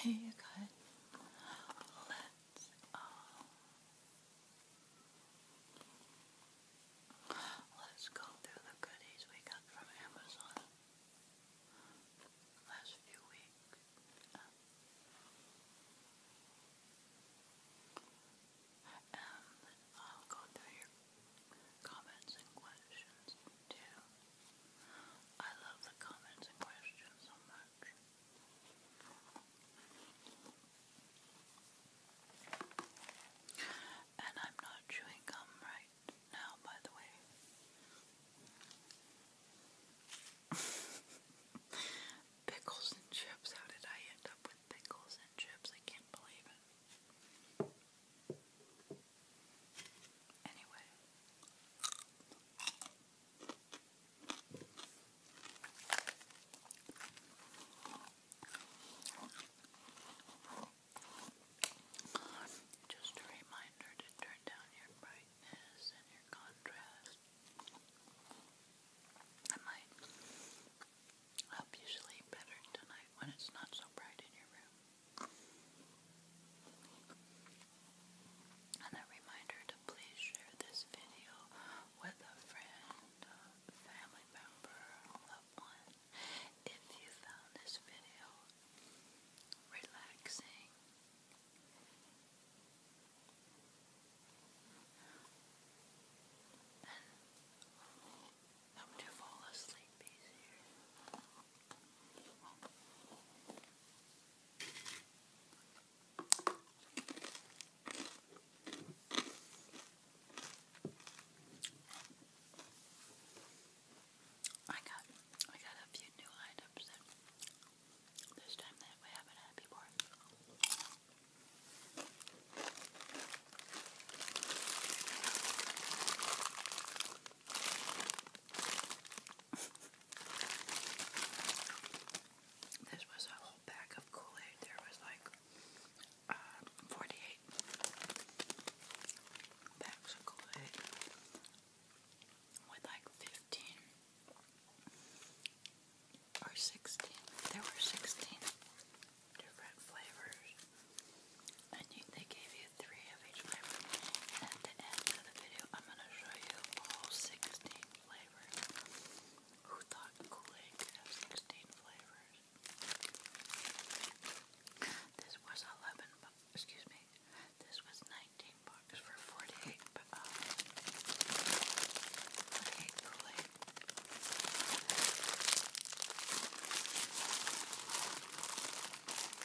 Hey, you guys, let's um, let's go through the goodies we got from Amazon last few weeks. and um, I'll go through your comments and questions too. I love the comments and questions so much. And I'm not chewing gum right now, by the way. pickles and chips. How did I end up with pickles and chips? I can't believe it. Anyway. Just a reminder to turn down your brightness and your contrast. I might help you sleep better tonight when it's not so bright in your room. And a reminder to please share this video with a friend, family member, loved one. If you found this video relaxing, and Help to fall asleep easier. I got I got a few new items this time that we haven't had before this was a whole pack of Kool-Aid. There was like uh, 48 packs of Kool-Aid with like 15 or 16. There were 16 different flavors. And you, they gave you three of each flavor. And at the end of the video, I'm going to show you all 16 flavors. Who thought Kool-Aid could have 16 flavors? This was 11 excuse me, this was 19 bucks for 48 um, Kool-Aid.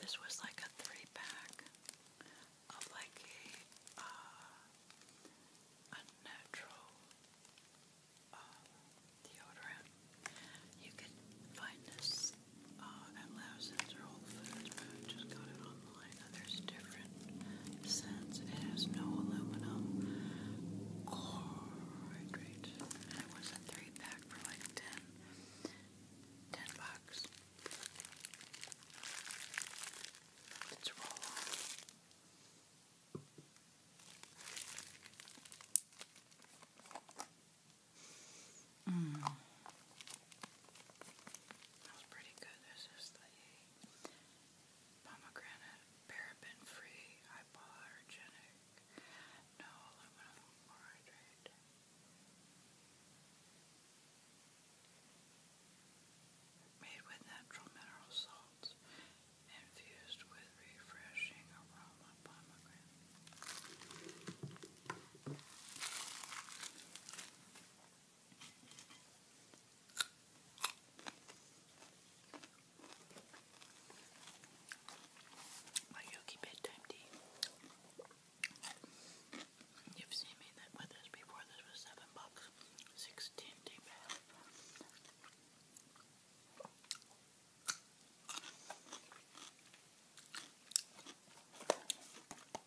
This was like a three pack of like a, uh, natural uh, deodorant. You can find this uh, at Lousens or Whole Foods, just got it online. I know there's different scents. It has no aluminum chlorhydrate. It was a three pack for like 10, bucks. Let's roll on. Mm. That was pretty good. This is the pomegranate paraben-free hypoallergenic no aluminum chloride. Made with natural mineral salts, infused with refreshing aroma pomegranate. My bedtime tea. You've seen me with this before. This was seven bucks, sixteen tea bag.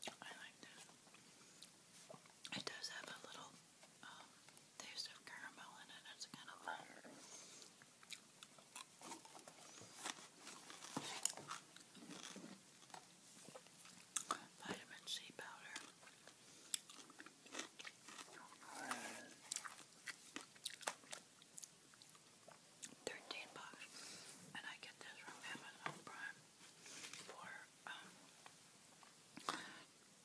I like this. It does have a little um, taste of caramel in it. It's kind of Vitamin C powder. Thirteen bucks, and I get this from Amazon Prime for um,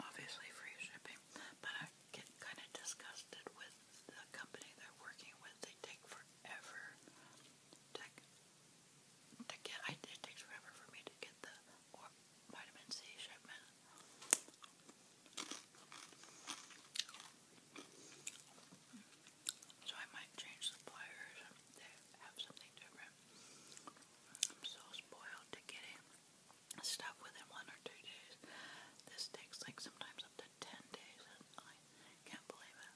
obviously free shipping, but I get kind of disgusted with the company they're working with. They take forever to, get, it takes forever for me to get the vitamin C shipment. So I might change suppliers. They have something different. I'm so spoiled to get it stuff within one or two days. This takes like sometimes up to ten days I can't believe it.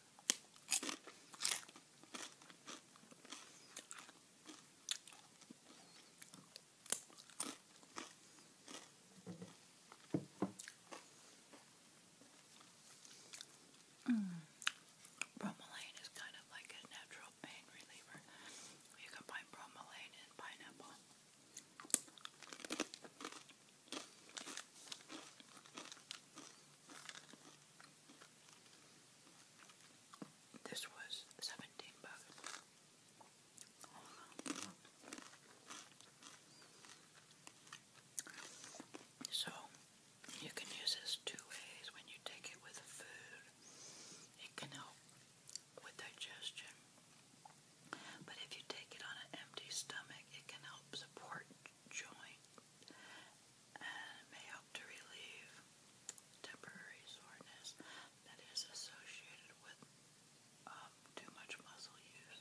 Mm. Bromelain is kind of like a natural pain reliever. You can find bromelain in pineapple. This was 17 bucks. So, you can use this two ways when you take it with food. It can help with digestion. But if you take it on an empty stomach, it can help support joint and may help to relieve temporary soreness that is associated with um, too much muscle use.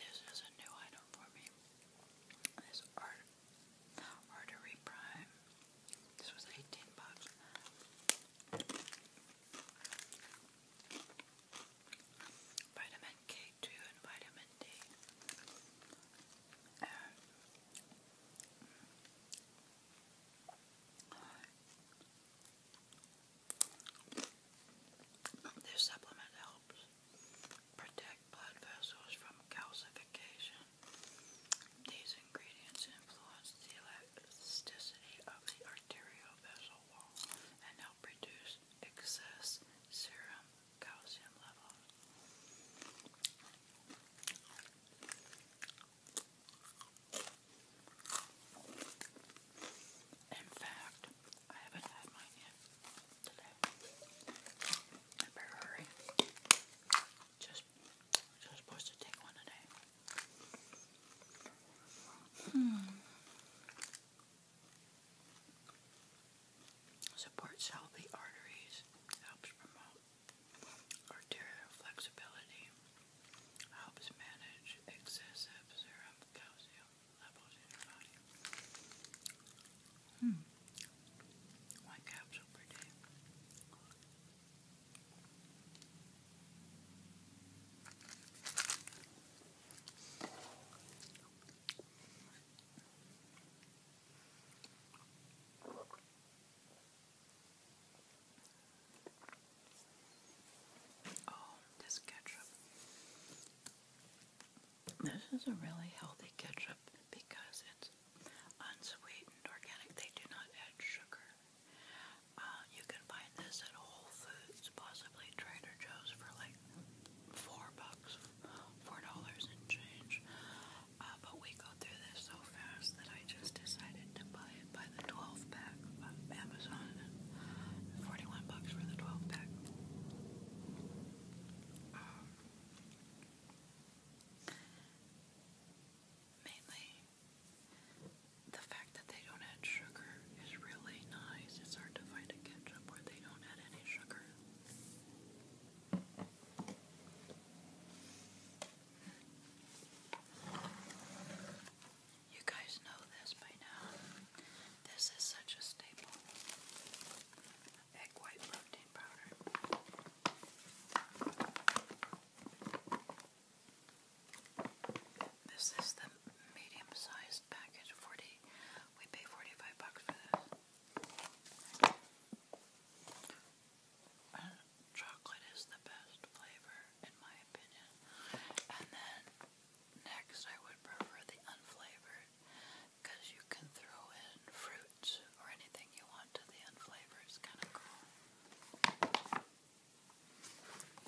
This is a new item for me. This artery prime. This was 18 bucks. Vitamin K2 and vitamin D. This supplement helps protect blood vessels from calcification. These ingredients influence the elasticity of the arterial vessel wall and help reduce excess serum calcium levels. In fact, I haven't had mine yet today. I Just, just supposed to take one today. Hmm. Supports healthy arteries, helps promote arterial flexibility, helps manage excessive serum calcium levels in your body. Hmm. One capsule per day. Oh, this ketchup. This is a really healthy ketchup because it's unsweetened, organic. They do not add sugar. Uh, you can find this at Whole Foods, possibly Trader Joe's, for like four bucks, four dollars and change. Uh, but we go through this so fast that I just decided to buy by the 12 pack of Amazon. 41 bucks for the 12 pack. Um, mainly, the fact that they don't add sugar is really nice. It's hard to find a ketchup where they don't add any sugar. You guys know this by now. This is such a staple. Egg white protein powder. This is the medium-sized package. Forty. We pay forty-five bucks for this. chocolate is the best flavor, in my my opinion. And then next I would prefer the unflavored because you can throw in fruits or anything you want to the unflavored. It's kind of cool.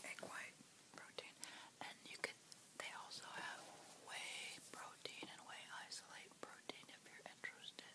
Egg white protein. And you can, they also have whey protein and whey isolate protein if you're interested.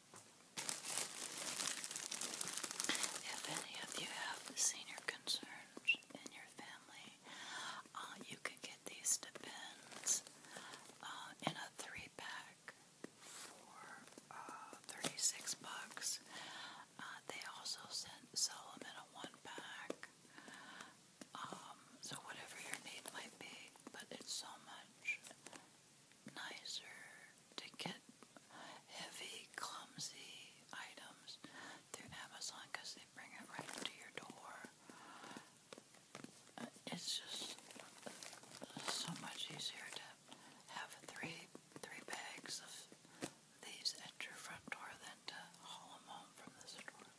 If any of you have senior concerns in your family, uh, you can get these depends uh, in a three pack for uh, 36 bucks. Uh, they also send, sell them in a one pack. Um, so whatever your need might be, but it's so much nicer to get heavy, clumsy items through Amazon because they bring it right to your door. Uh, it's just so much easier to have three three bags of these at your front door than to haul them home from the store.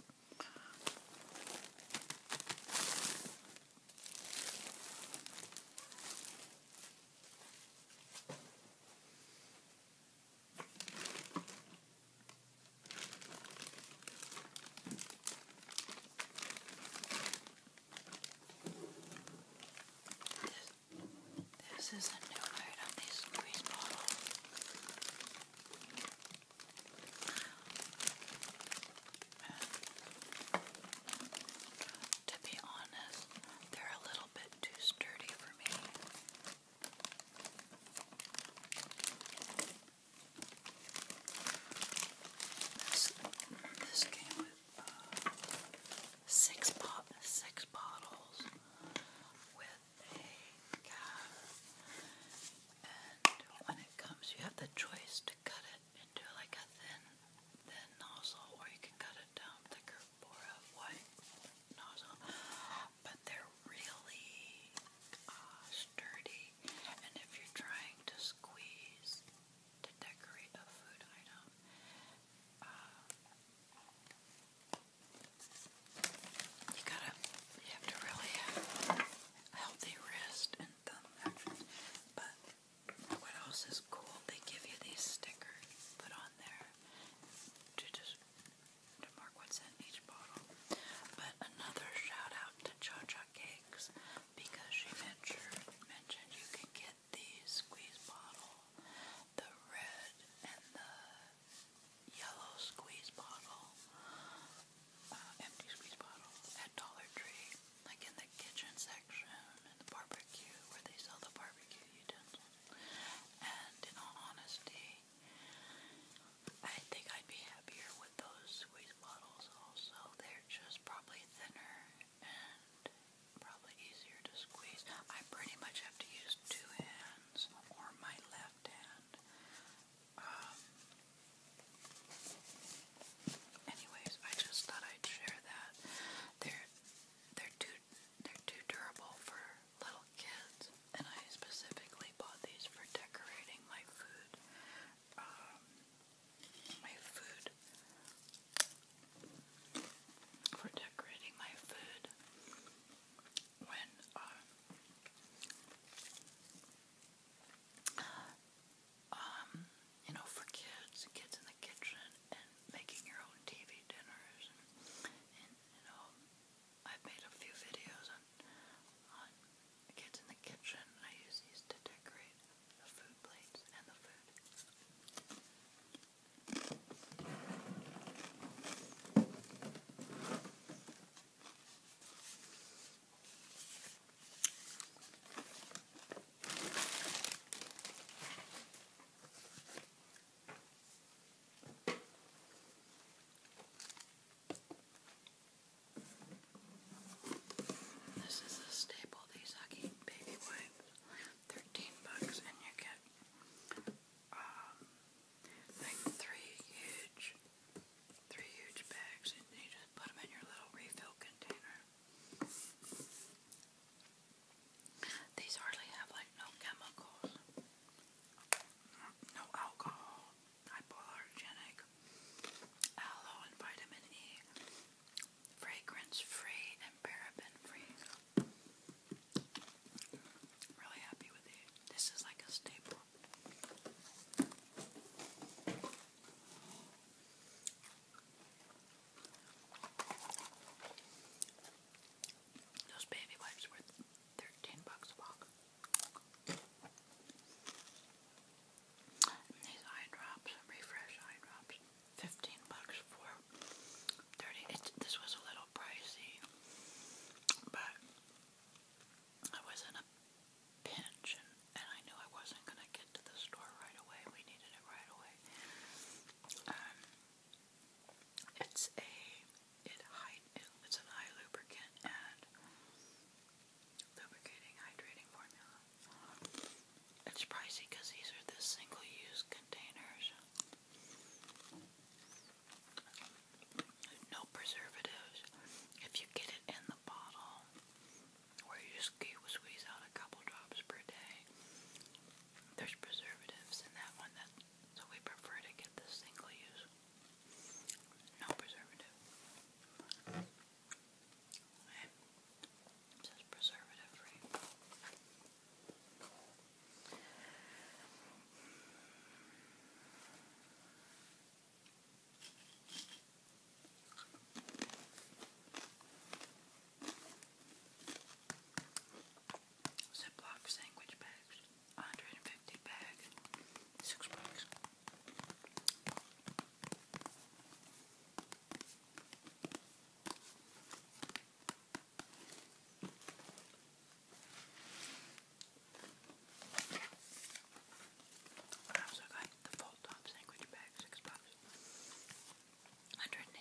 This, this is a new load of this grease bottle. To be honest, they're a little bit too sturdy for me. This, came with uh, six, bo six bottles with a cap. And when it comes, you have the choice to cut it into like a thin, thin nozzle, or you can cut it down thicker for a white nozzle. But they're really uh, sturdy, and if you're trying to squeeze to decorate a food item, uh, you gotta, have to really have a wrist and thumb what else is cool? They give you these stickers put on there to just to mark what's in each bottle. But another shout out to Cha Cha Cakes because she mentioned mentioned you can get the squeeze bottle, the red and the yellow squeeze bottle, uh, empty squeeze bottle at Dollar Tree like in the kitchen section and the barbecue where they sell the barbecue utensils. And in all honesty, I think I'd be happier with those squeeze bottles also. They're just probably thinner and probably easier to squeeze. I pretty much have to use two hands or my left hand. Um, anyways, I just thought I'd share that. There they're too they're too durable for little kids, and I specifically bought these for decorating my food. Um, my food for decorating my food when um, um you know, for kids, kids in the kitchen, and making your own TV dinners, and, you know, I've made a few videos on on kids in the kitchen. I use these to decorate the food plates and the food. This is a staple, these Huggy Baby Wipes. 13 bucks and you get um, like three huge three huge bags and you just put them in your little refill container. These hardly have like no chemicals, no alcohol, hypoallergenic, aloe and vitamin E, fragrance free and paraben free. really happy with these. This is like a staple. Those baby wipes were 13 bucks a box. these eye drops, refresh eye drops, 15 bucks for 30. this was a little pricey, but I was in a pinch and I knew I wasn't going to get to the store right away. We needed it right away. Um, it's a it hide it's an eye lubricant and lubricating hydrating formula. It's pricey because these are the single-use containers. No preservatives. If you get it in the bottle, where you just squeeze out a couple drops per day, there's preservatives in that one, that, so we prefer to get the single use. No preservative. It says preservative free. Ziploc sandwich bags, 150 bag, six bucks. What else got? The full top sandwich bag, six bucks. 180.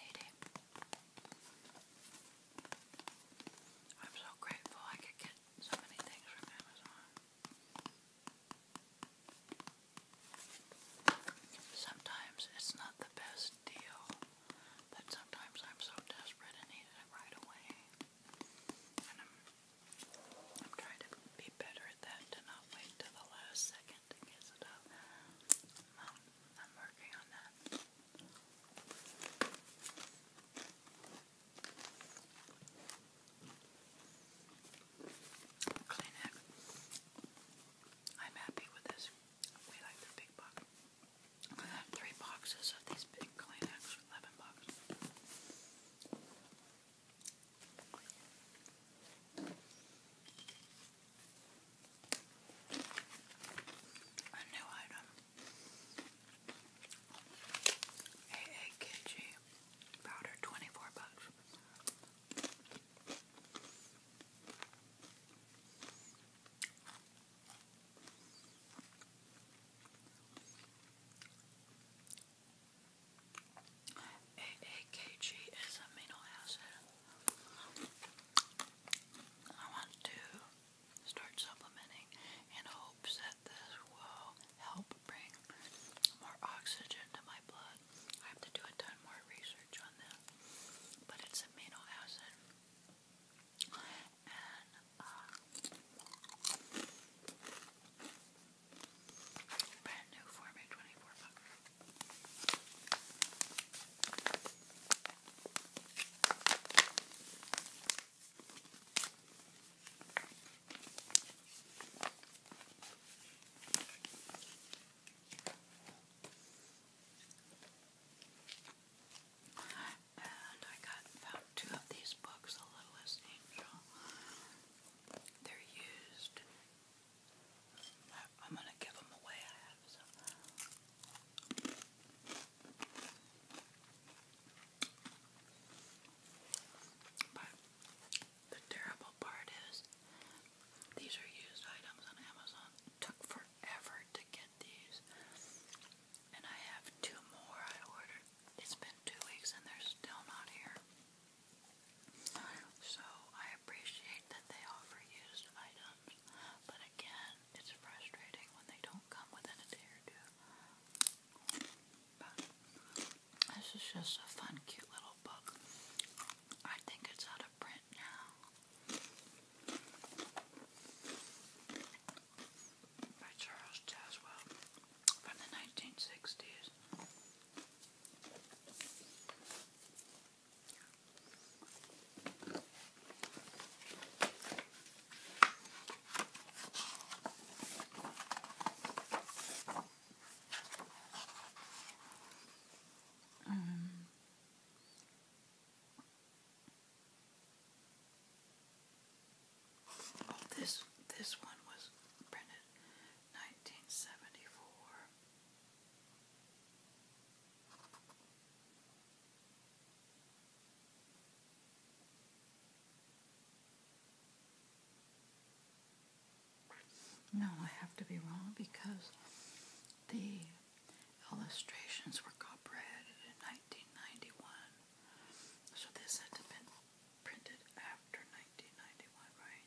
I'm so grateful I could get so many things from Amazon. Sometimes it's not the best deal, but sometimes I'm so desperate and need it right away. And I'm, I'm trying to be better at that, to not wait till the last second to get it I'm I'm happy with this. We like the big box. I have three boxes of these big Kleenex, 11 bucks. A new item. AAKG powder, 24 bucks. AAKG is amino acid. I want to start supplementing in hopes that this will help bring more oxygen to my blood. I have to do a ton more research on that, but it's amino acid. And, uh, brand new for me, 24 bucks. And I got two of these books, The Littlest Angel. They're used I'm gonna give them away. But the terrible part is, these are used items on Amazon. Took forever to get these, and I have two more I ordered. It's been two weeks and they're still not here. So I appreciate that they offer used items, but again, it's frustrating when they don't come within a day or two. this is just a fun, cute little book. I think it's out of print now. By Charles Jaswell from the 1960s. Um, oh, this this one was printed 1974. No, I have to be wrong because the illustrations were copyrighted in 1991. So this had to been printed after 1991, right?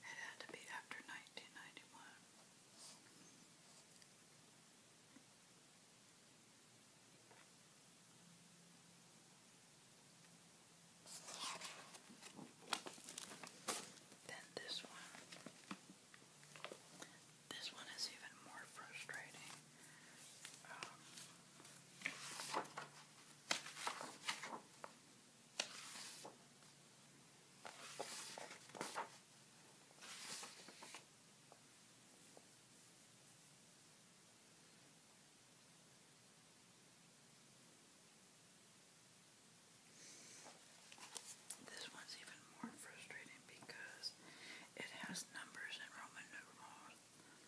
It had to be after 1991. Then this one. This one is even more frustrating. Um, this one's even more frustrating because it has numbers and Roman numerals.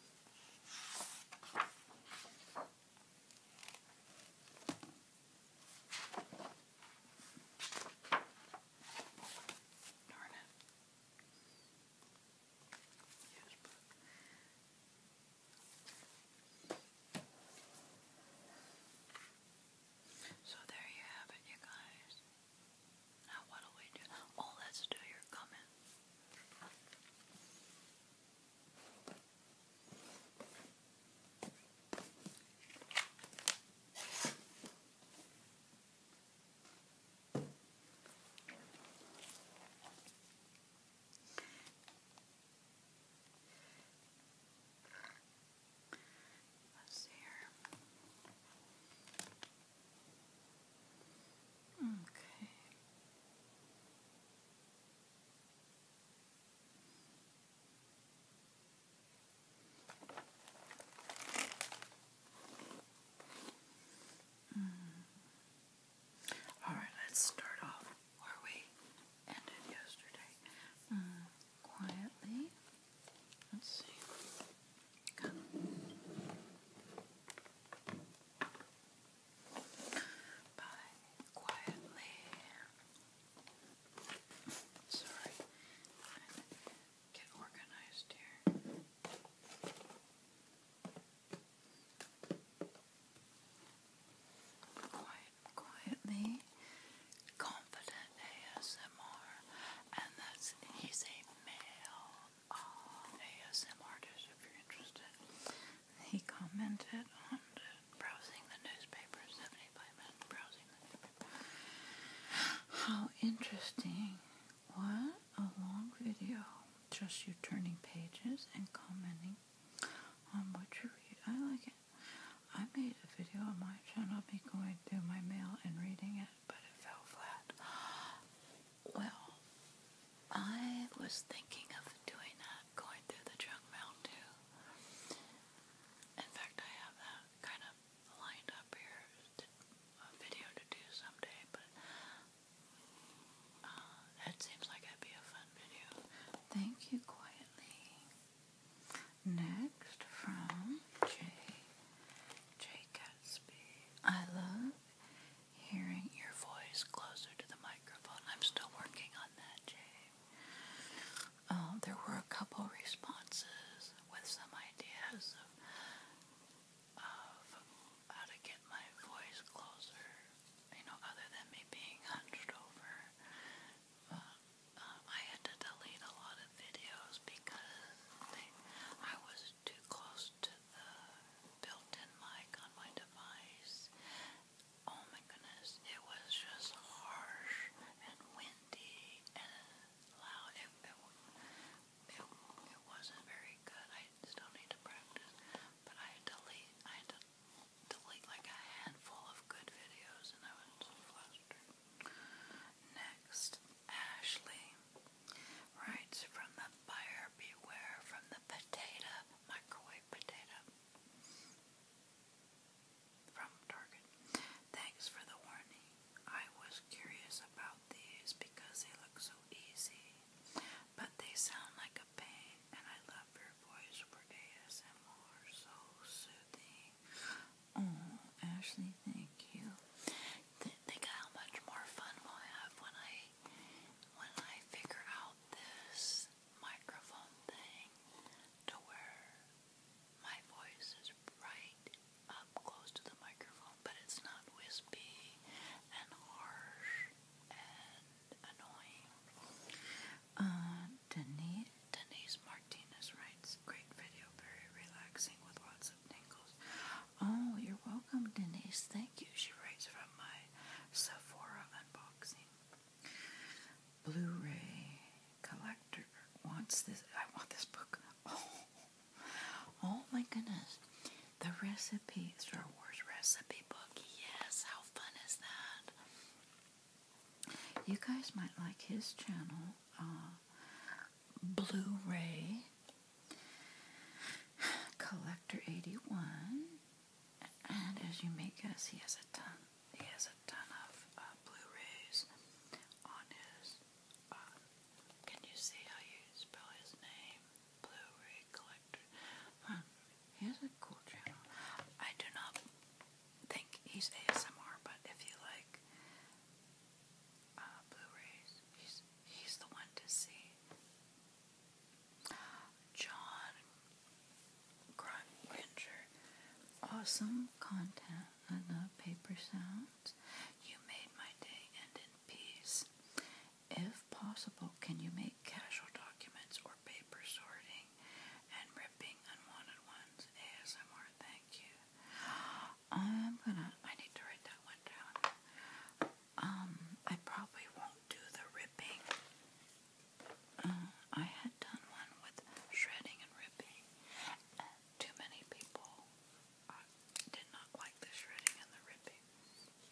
so there you have it, you guys. Now what do we do? Oh, let's do your comment. Let's see here. Okay. Mm. All right, let's start off where we ended yesterday. Mm. Quietly. Let's see. quietly. Sorry. get organized here. quietly, confident ASMR, and that's he's a ASM artists if you're interested. He commented on browsing the newspaper, How interesting. What a long video. Just you turning pages and commenting on what you read. I like it. I made a video on my channel of me going through my mail and reading it but it fell flat. Well, I was thinking of doing that, going through the junk mail too. In fact, I have that kind of lined up here, a video to do someday, but uh, that seems like it'd be a fun video. Thank you quietly. Next from J Jay Gatsby, I love hearing your voice closer to the microphone. I'm still working on that, Jay. Um, there were a couple responses with some ideas of, how to get my voice closer, you know, other than me being hunched over. Uh, I had to delete a lot of videos because I was too close to the built-in mic on my device. Oh my goodness, it was just harsh and windy and loud. It, it, it, wasn't very good. I still need to practice, but I delete. I delete like a handful of good videos, and I was so flustered. Next. Ashley writes from the buyer beware from the potato, microwave potato from Target. Thanks for the warning. I was curious about these because they look so easy, but they sound like a pain, and I love your voice for ASMR. So soothing. Oh, Ashley, thank you think how much more fun we'll have when I when I figure out this microphone thing to where my voice is right up close to the microphone, but it's not wispy and harsh and annoying. Uh, Denise, Denise Martinez writes, great video, very relaxing with lots of tingles. Oh, you're welcome, Denise. Thank you. She writes from my Sephora unboxing. Blu-ray collector wants this. I want this book. Oh, my goodness! The recipe, Star Wars recipe book. Yes, how fun is that? You guys might like his channel. Uh, Blu-ray Collector 81. And as you may guess, he has a ton. He has a ton of uh, Blu-rays on his. Uh, can you see how you spell his name? Blu-ray collector. Um, he has a cool channel. I do not think he's ASMR, but if you like uh, Blu-rays. He's the one to see. John Granger, awesome content. I love paper sounds. You made my day end in peace. If possible, can you make casual documents or paper sorting and ripping unwanted ones? ASMR, thank you. I'm gonna, I need to write that one down. Um, I probably won't do the ripping. Uh, I had done one with shredding and ripping, too many people uh, did not like the shredding and the ripping.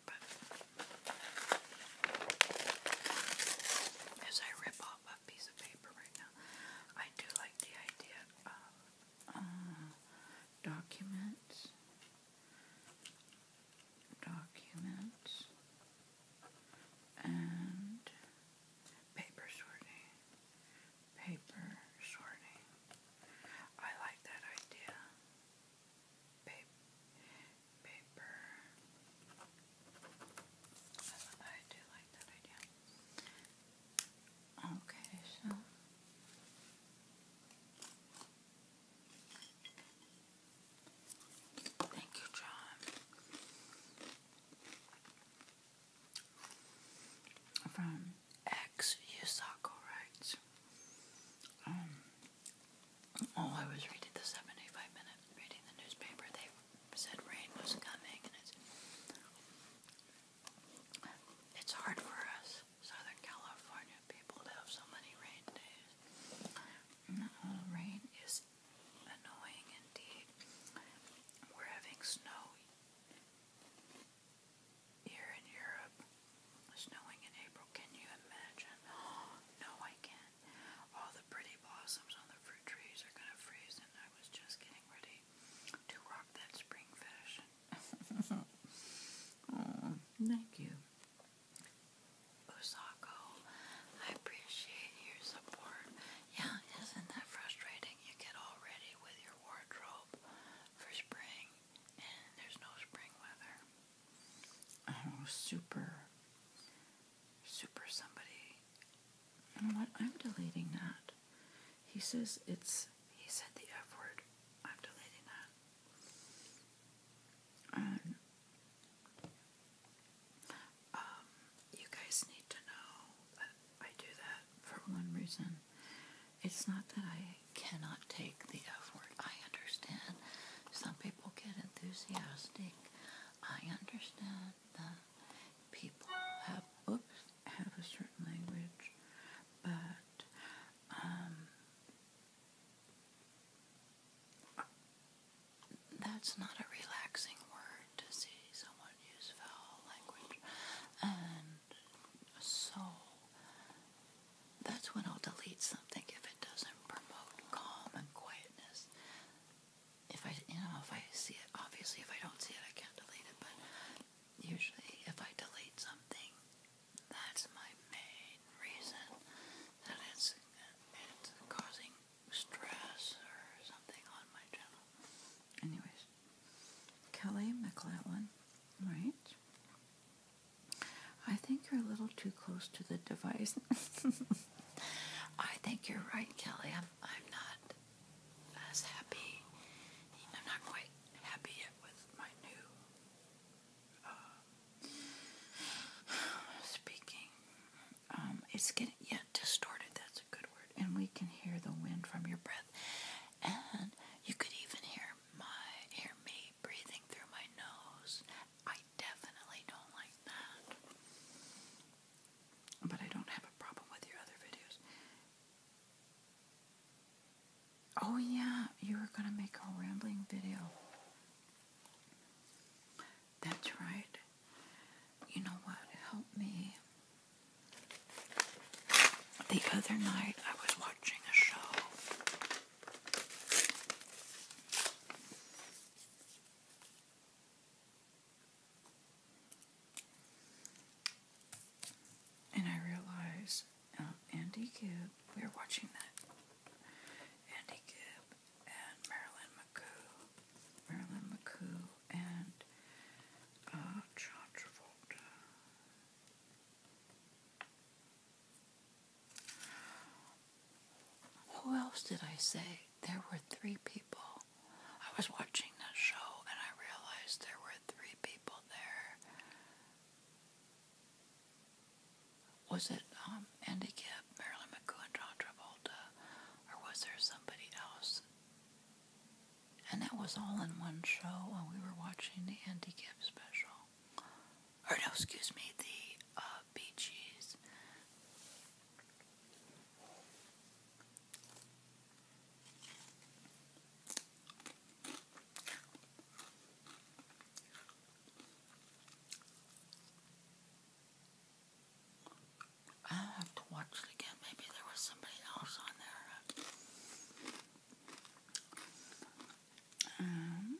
But as I rip off a piece of paper right now, I do like the idea of uh, documents documents, and paper sorting. Paper sorting. I like that idea. Paper. Paper. I, do like that idea. Okay, so Thank you, John. From X Yusako writes, um, I was reading the 75 minute reading the newspaper, they said rain was coming, and it's it's hard for us Southern California people have so many rain days. rain is annoying indeed. We're having snow here in Europe. Snowing in April, can you imagine? no, I can't. All the pretty blossoms on the fruit trees are going to freeze, and I was just getting ready to rock that spring fashion. thank you, Usako. I appreciate your support. Yeah, isn't that frustrating? You get all ready with your wardrobe for spring, and there's no spring weather. Oh, super, super somebody. You know what? I'm deleting that. He says it's. He said the F word. I'm deleting that. Um, you guys need to know that I do that for one reason. It's not that I cannot take the F word. I understand. Some people get enthusiastic. I understand that people have oops have a certain language, but um, that's not a relaxing word to see someone use foul language. And so, that's when I'll delete something if it doesn't promote calm and quietness. If I, you know, if I see it, obviously if I don't see it, I can't delete it, but usually if I delete something, that's my main reason that it's it's causing stress or something on my channel. Anyways, Kelly McLaughlin, right? I think you're a little too close to the device. I think you're right, Kelly. I'm I'm not as happy. I'm not quite happy yet with my new uh, speaking. Um, it's getting yeah distorted. That's a good word. And we can hear the wind from your breath, and you could even hear my hear me breathing through my nose. I definitely don't like that, but I don't have a problem with your other videos. Oh, yeah, you were going to make a rambling video. That's right. You know what? Help me. The other night I was watching a show. And I realized uh, Andy Gibb. We were watching that. Andy Gibb and Marilyn McCoo. Marilyn McCoo and uh, John Travolta. Who else did I say? There were three people. I was watching that show and I realized there were three people there was it um, Andy Gibb, Marilyn McCoo, and John Travolta, or was there somebody else? And that was all in one show when we were watching the Andy Gibb special. Or no, excuse me, the uh, Bee Gees. I have to watch it again. Maybe there was somebody else on there. Um,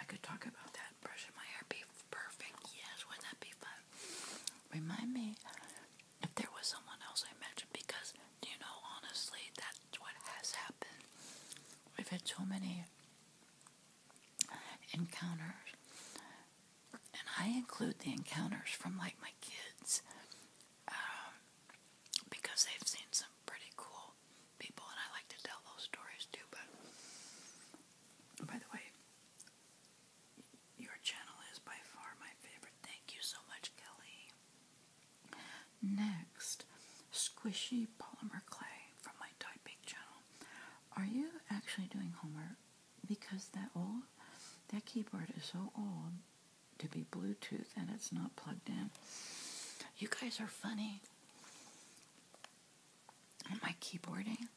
I could talk about that. Brushing my hair be perfect. Yes, would that be fun? Remind me if there was someone else I mentioned because you know, honestly, that's what has happened. We've had so many encounters, and I include the encounters from like my kids um, because they've seen some pretty cool people, and I like to tell those stories too. But by the way, your channel is by far my favorite. Thank you so much, Kelly. Next, squishy polymer clay from my Tide Bake channel. Are you actually doing homework? Because that old, that keyboard is so old to be Bluetooth and it's not plugged in. You guys are funny. Am I keyboarding?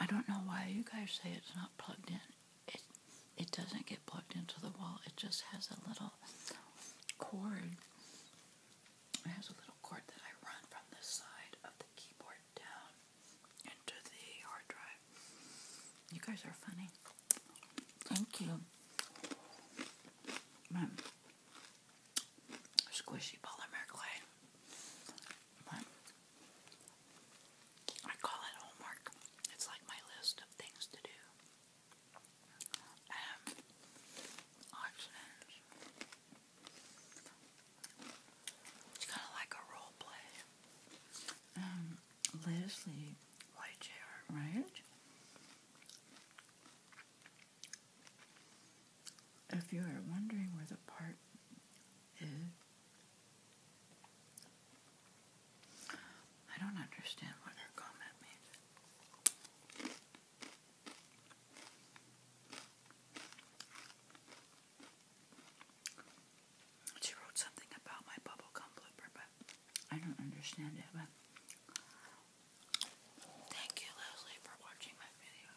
I don't know why you guys say it's not plugged in it it doesn't get plugged into the wall. It just has a little cord. It has a little cord that I run from the side of the keyboard down into the hard drive. You guys are funny. Thank you. Mm. squishy polymer clay. Mm. I call it homework. It's like my list of things to do. Um, options. It's kind of like a role play. Um, Leslie Whitehair, right? If you are wondering where the part is, I don't understand what her comment means. She wrote something about my bubblegum blooper, but I don't understand it. But thank you, Leslie, for watching my video.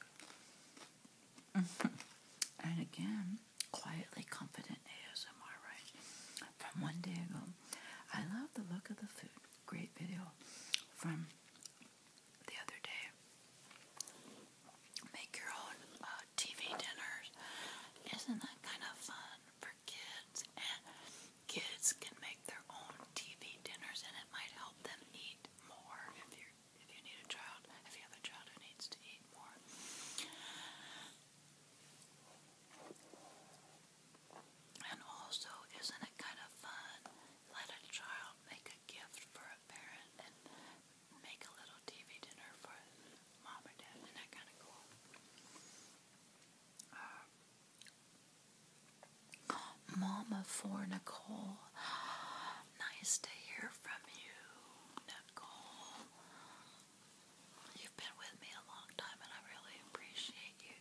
and again, quietly confident ASMR, right? From one day ago, I love the look of the food. Great video from the other day. Make your own uh, TV dinners. Isn't that kind of fun for kids? And kids can make their own TV dinners, and it might help them eat more if you if you need a child if you have a child who needs to eat more. And also, isn't it kind of fun? Let a child make a gift for a parent and make a little TV dinner for mom or dad. Isn't that kind of cool? Uh, um, mom Nicole. Nice to hear from you, Nicole. You've been with me a long time and I really appreciate you.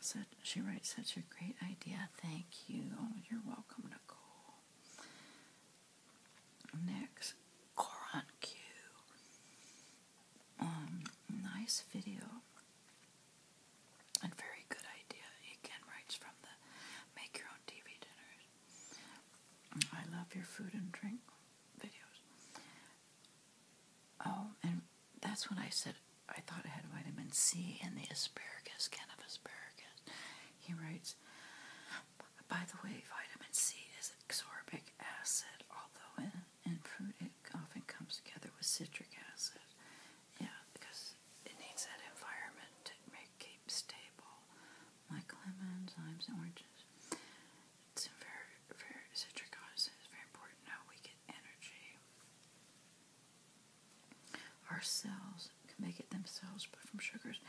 So she writes such a great idea. Thank you. Oh, you're welcome, Nicole. Next, Coron Q. Um, nice video and very good idea. Again, writes from the make your own TV dinners. I love your food and drink videos. Oh, and that's when I said I thought I had vitamin C in the asparagus, can of asparagus. He writes, by the way, vitamin C is ascorbic acid, although in, in fruit it often comes together with citric acid. Yeah, because it needs that environment to make keep stable. Like lemons, limes, oranges. It's very, very citric acid is very important how we get energy. Our cells can make it themselves, but from sugars,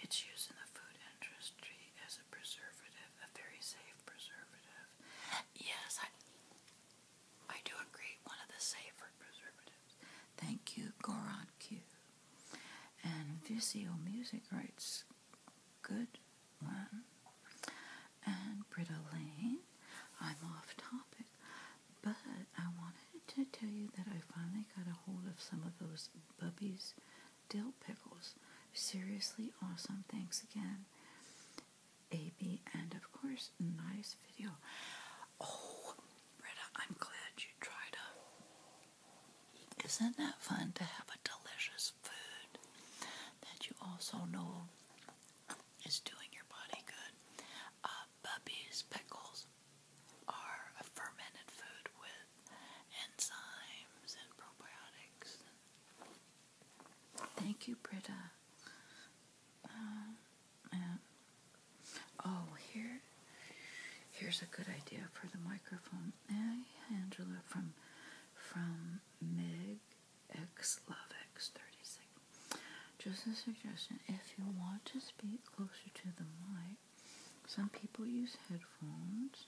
it's used in the food industry as a preservative, a very safe preservative. Yes, I, I do agree, one of the safer preservatives. Thank you, Goran And Visio Music writes good one. And Britta Lane, I'm off topic, but I wanted to tell you that I finally got a hold of some of those Bubby's dill pickles. Seriously awesome. Thanks again, AB, and of course, nice video. Oh, Britta, I'm glad you tried them. Isn't that fun to have a delicious food that you also know is doing your body good. Uh, pickles are a fermented food with enzymes and probiotics. Thank you, Britta. Uh, oh, here, here's a good idea for the microphone. Angela from from Mig X Love X 36. Just a suggestion if you want to speak closer to the mic, some people use headphones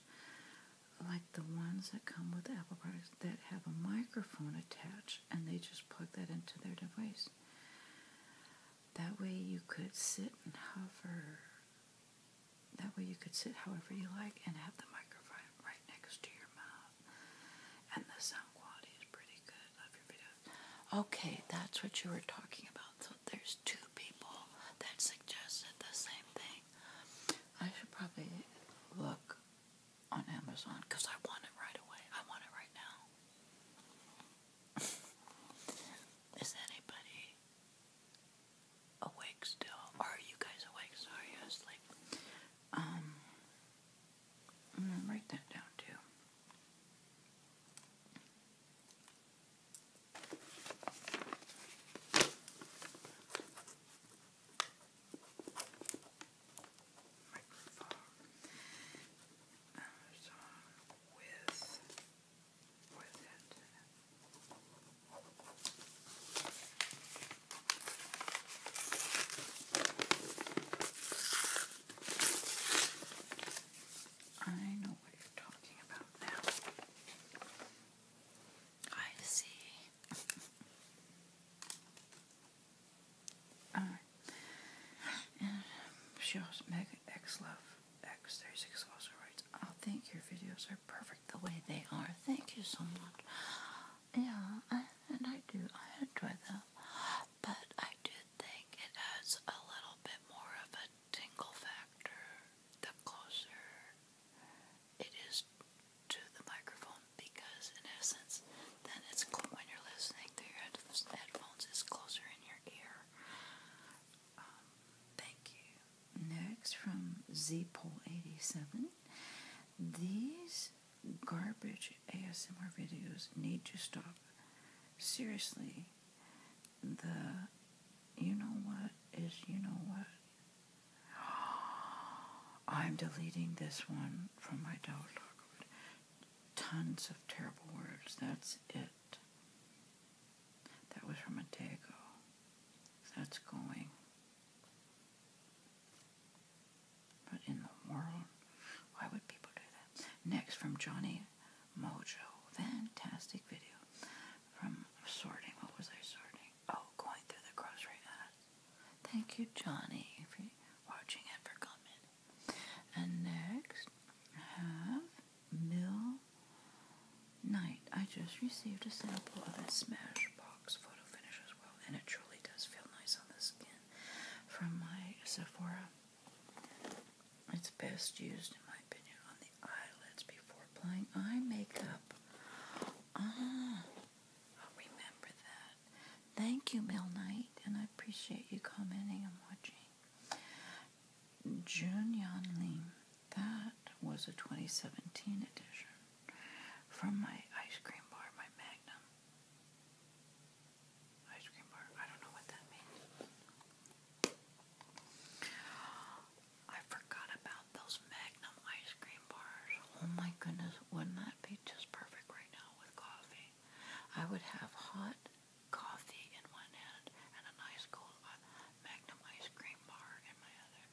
like the ones that come with Apple products that have a microphone attached and they just plug that into their device. That way you could sit and hover that way you could sit however you like and have the microphone right next to your mouth. And the sound quality is pretty good. Love your video. Okay, that's what you were talking about. So there's two people that suggested the same thing. I should probably look on Amazon because I want it right away. I want it right now. Is anybody awake still? Are you guys awake? Sorry, I was like, um, I'm gonna write that down too. I know what you're talking about now. I see. All right. Mega X Love X36 also writes, I think your videos are perfect the way they are. Thank you so much yeah, and I do. I enjoy them. But I do think it adds a little bit more of a tingle factor the closer it is to the microphone because, in essence, then it's cool when you're listening through your headphones, it's closer in your ear. Um, thank you. Next from Z Poll 87. These garbage ASMR videos need to stop. Seriously, the you know what is you know what? I'm deleting this one from my dog. Tons of terrible words. That's it. That was from a day ago. That's going. But in the world, why would people do that? Next from Johnny Mojo. Fantastic video from sorting. What was I sorting? Oh, going through the grocery aisle. Thank you, Johnny, for watching and for commenting. And next, I have Mill Night. I just received a sample of a Smashbox. Box photo finish as well, and it truly does feel nice on the skin. From my Sephora, it's best used, in my opinion, on the eyelids before applying eye makeup. Ah, I'll remember that. Thank you, Mill Knight, and I appreciate you commenting and watching. Jun Yan Lim, that was a 2017 edition from my ice cream bar, my Magnum ice cream bar. I don't know what that means. I forgot about those Magnum ice cream bars. Oh my goodness, wouldn't that be just perfect right now with coffee? I would have hot coffee in one hand and a nice cold uh, Magnum ice cream bar in my other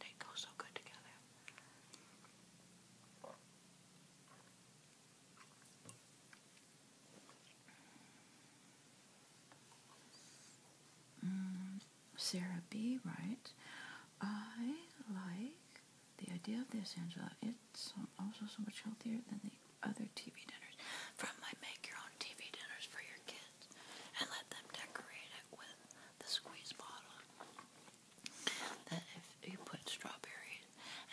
they go so good together. Mm, Sarah B. Right. I like the idea of this, Angela. It's also so much healthier than the other TV dinners. From my make your own TV dinners for your kids and let them decorate it with the squeeze bottle that if you put strawberries,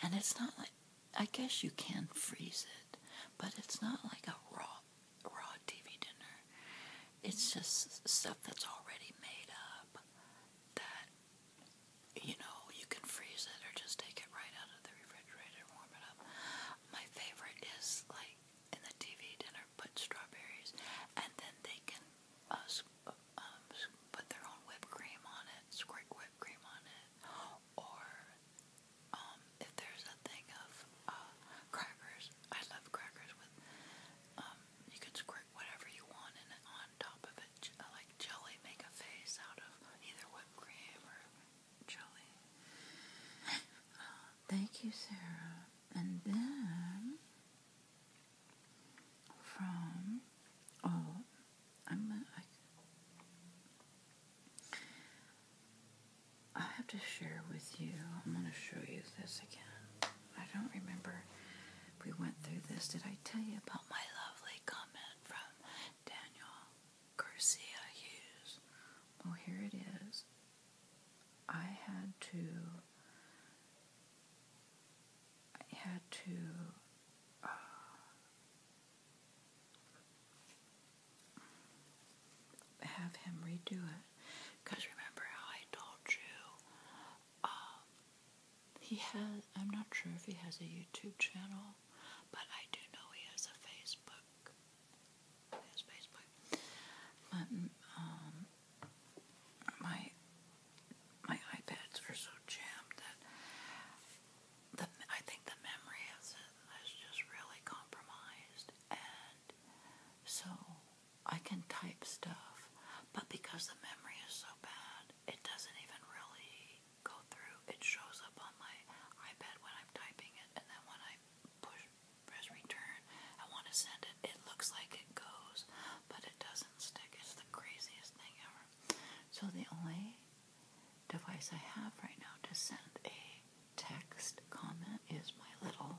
and it's not like, I guess you can freeze it, but it's not like a raw, raw TV dinner. It's just stuff that's already made up that, you know, you can freeze it or just take it right out of the refrigerator and warm it up. My favorite is like in the TV dinner put strawberries, and then they can uh, um, put their own whipped cream on it, squirt whipped cream on it, or um, if there's a thing of uh, crackers, I love crackers with, um, you can squirt whatever you want in it on top of it, uh, like jelly, make a face out of either whipped cream or jelly. Thank you, Sarah. And then from oh I'm I, I have to share with you. I'm going to show you this again. I don't remember we went through this. Did I tell you about my lovely comment from Daniel Garcia Hughes? Oh, here it is. I had to I had to uh, have him redo it because remember how I told you um, he has I'm not sure if he has a YouTube channel but I do know he has a Facebook his Facebook but mm, um my my iPads are so jammed that I think the memory of it is just really compromised, and so I can type stuff, but because the memory is so bad, it doesn't even really go through. It shows up on my iPad when I'm typing it, and then when I push press return, I want to send it. It looks like it goes but it doesn't stick. It's the craziest thing ever. So the only device I have right now to send a text comment is my little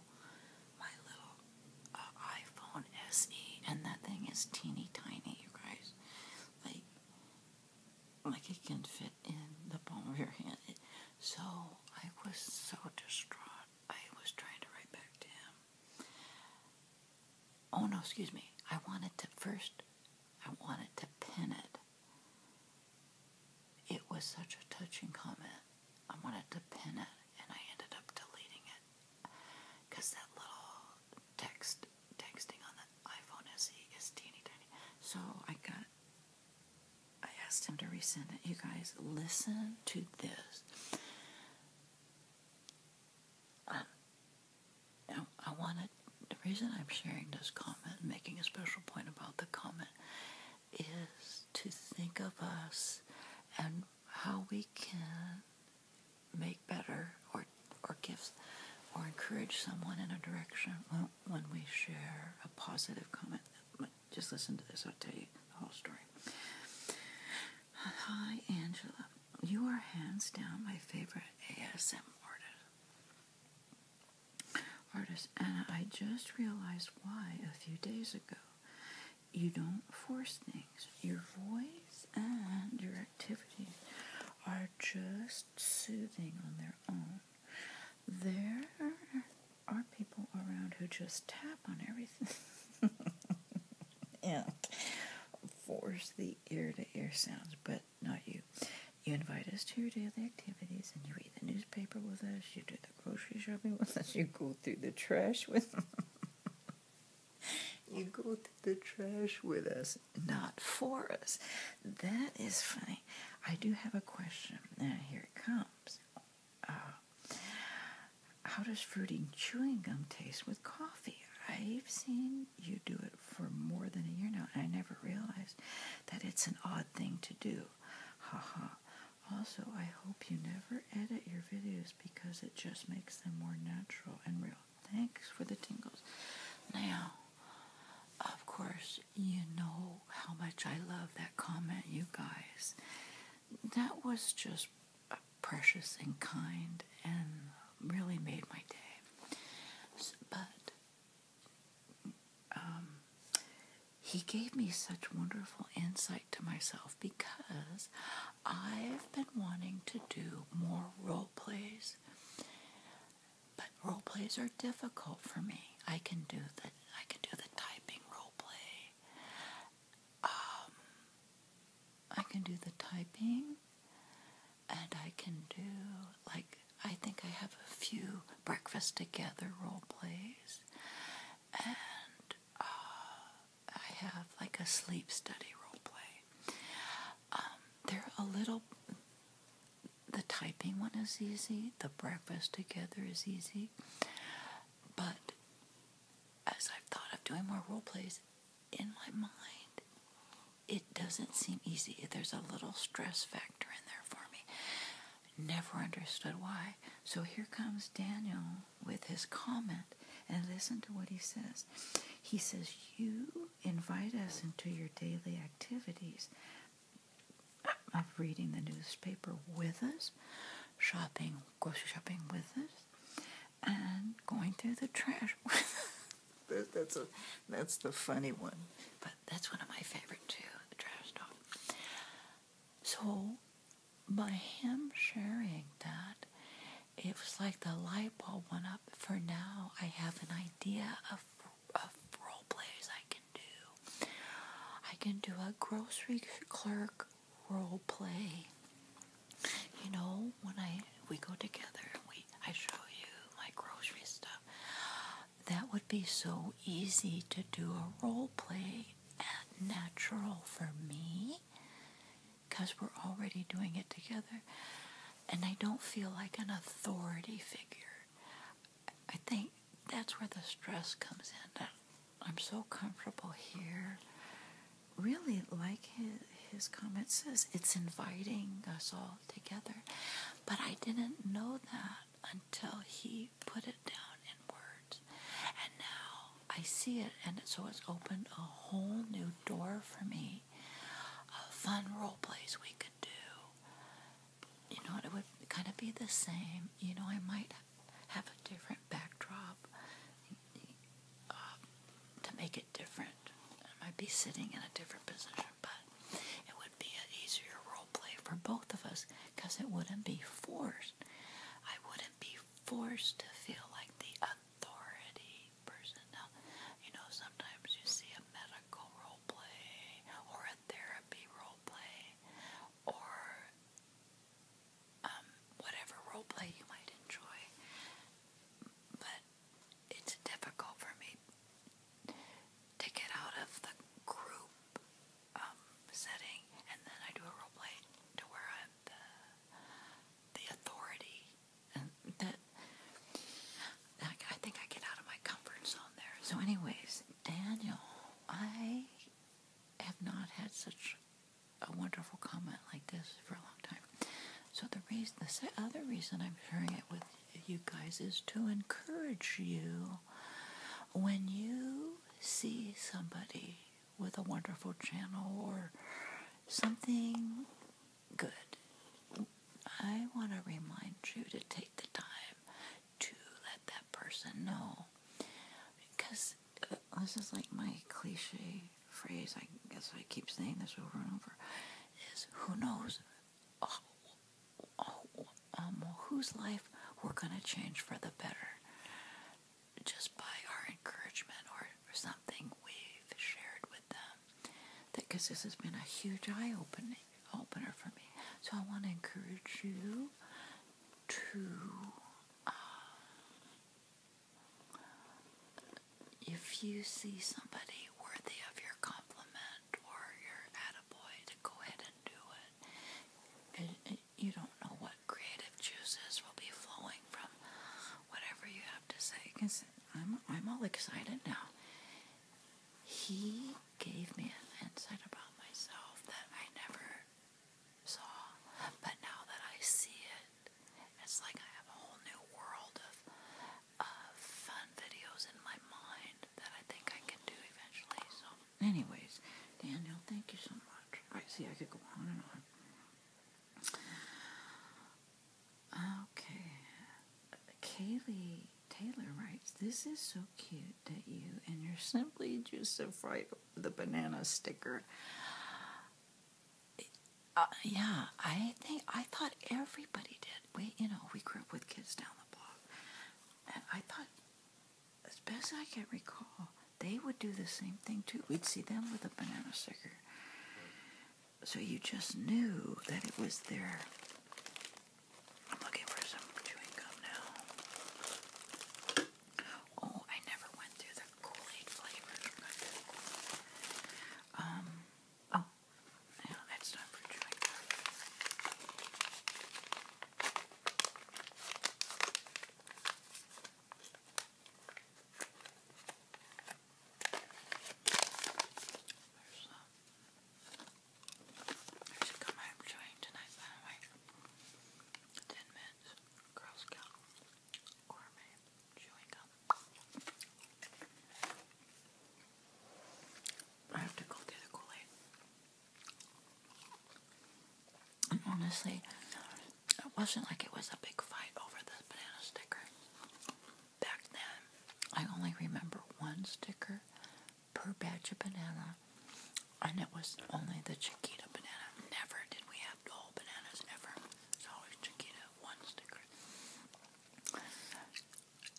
my little uh, iPhone SE and that thing is teeny tiny you guys like like it can fit in the palm of your hand so I was so distraught I was trying to write back to him Oh no, excuse me. I wanted to first, I wanted to pin it. It was such a touching comment. I wanted to pin it and I ended up deleting it. Because that little text, texting on the iPhone SE is teeny tiny. So I got, I asked him to resend it. You guys, listen to this. Um, now, I the reason I'm sharing this comment, making a special point about the comment, is to think of us and how we can make better or, or give or encourage someone in a direction when we share a positive comment. Just listen to this, I'll tell you the whole story. Hi, Angela. You are hands down my favorite ASM artist. and I just realized why a few days ago. You don't force things. Your voice and your activities are just soothing on their own. There are people around who just tap on everything. and force the ear to ear sounds, but not you. You invite us to your daily activities and you read the newspaper with us, you do the grocery shopping with us, you go through the trash with You go through the trash with us, not for us. That is funny. I do have a question. Now here it comes. Uh, how does fruity chewing gum taste with coffee? I've seen you do it for more than a year now, and I never realized that it's an odd thing to do. Haha. Also, I hope you never edit your videos because it just makes them more natural and real. Thanks for the tingles. Now, of course, you know how much I love that comment, you guys that was just precious and kind and really made my day. but um, he gave me such wonderful insight to myself because I've been wanting to do more role plays, but role plays are difficult for me. I can do the I can do the typing role play, um, I can do the typing and I can do, like, I think I have a few breakfast together role plays and uh, I have like a sleep study role play. Um, they're a little, the typing one is easy, the breakfast together is easy, but as I've thought of doing more role plays in my mind, it doesn't seem easy. There's a little stress factor in there for me. Never understood why. So here comes Daniel with his comment, and listen to what he says. He says, You invite us into your daily activities of reading the newspaper with us, shopping, grocery shopping with us, and going through the trash. that's a that's the funny one, but that's one of my favorite too. The trash dog. So by him sharing that, it was like the light bulb went up. For now, I have an idea of of role plays I can do. I can do a grocery clerk role play. You know, when I we go together and we I show you my grocery stuff. That would be so easy to do a role play and natural for me because we're already doing it together. And I don't feel like an authority figure. I think that's where the stress comes in. I'm so comfortable here. Really, like his, his comment says, it's inviting us all together. But I didn't know that until he put it down in words. And now I see it, and so it's opened a whole new door for me A fun role play we could do. You know, it would kind of be the same. You know, I might have a different backdrop uh, to make it different. I might be sitting in a different position, but it would be an easier role play for both of us because it wouldn't be forced. I wouldn't be forced to feel like the authority person. you know, sometimes you see a medical role play or a therapy role play or um, whatever role play you might enjoy. But it's difficult for me to get out of the group um, setting, and then I do a role play to where I'm the the authority. And that I think I get out of my comfort zone there. So, anyways, Daniel, I have not had such a wonderful comment like this for a long time. So the reason, the other reason I'm sharing it with you guys is to encourage you when you see somebody with a wonderful channel or something good. I want to remind you to take the time to let that person know because uh, this is like my cliche phrase. I guess I keep saying this over and over. Is who knows? Oh, oh, um, whose life we're gonna change for the better just by our encouragement or, something we've shared with them. Because this has been a huge eye opening opener for me. So I want to encourage you to uh, if you see somebody worthy of your compliment or your attaboy, to go ahead and do it you don't know what creative juices will be flowing from whatever you have to say. Cause I'm I'm all excited now. He gave me an insight about myself that I never saw, but now that I see it, it's like I have a whole new world of fun videos in my mind that I think I can do eventually. So, anyways, Danielle, thank you so much. I see I could go on and on. Okay, Kaylee Taylor writes, "This is so cute that you and you're simply just so fried over the banana sticker." Uh, yeah, I think I thought everybody did. We, you know, we grew up with kids down the block, and I thought, as best I can recall, they would do the same thing too. We'd see them with a banana sticker, so you just knew that it was there. I'm looking for some chewing gum now. Oh, I never went through the Kool-Aid flavors. Um, oh, no, that's not for chewing gum. There's a, there's tonight, by the Ten minutes. Girl Scout. I have to go through the Kool-Aid. honestly, it wasn't like it was a big fight over the banana sticker. Back then, I only remember one sticker per batch of banana, and it was only the Chiquita banana. Never did we have the bananas, ever. It's always Chiquita one sticker.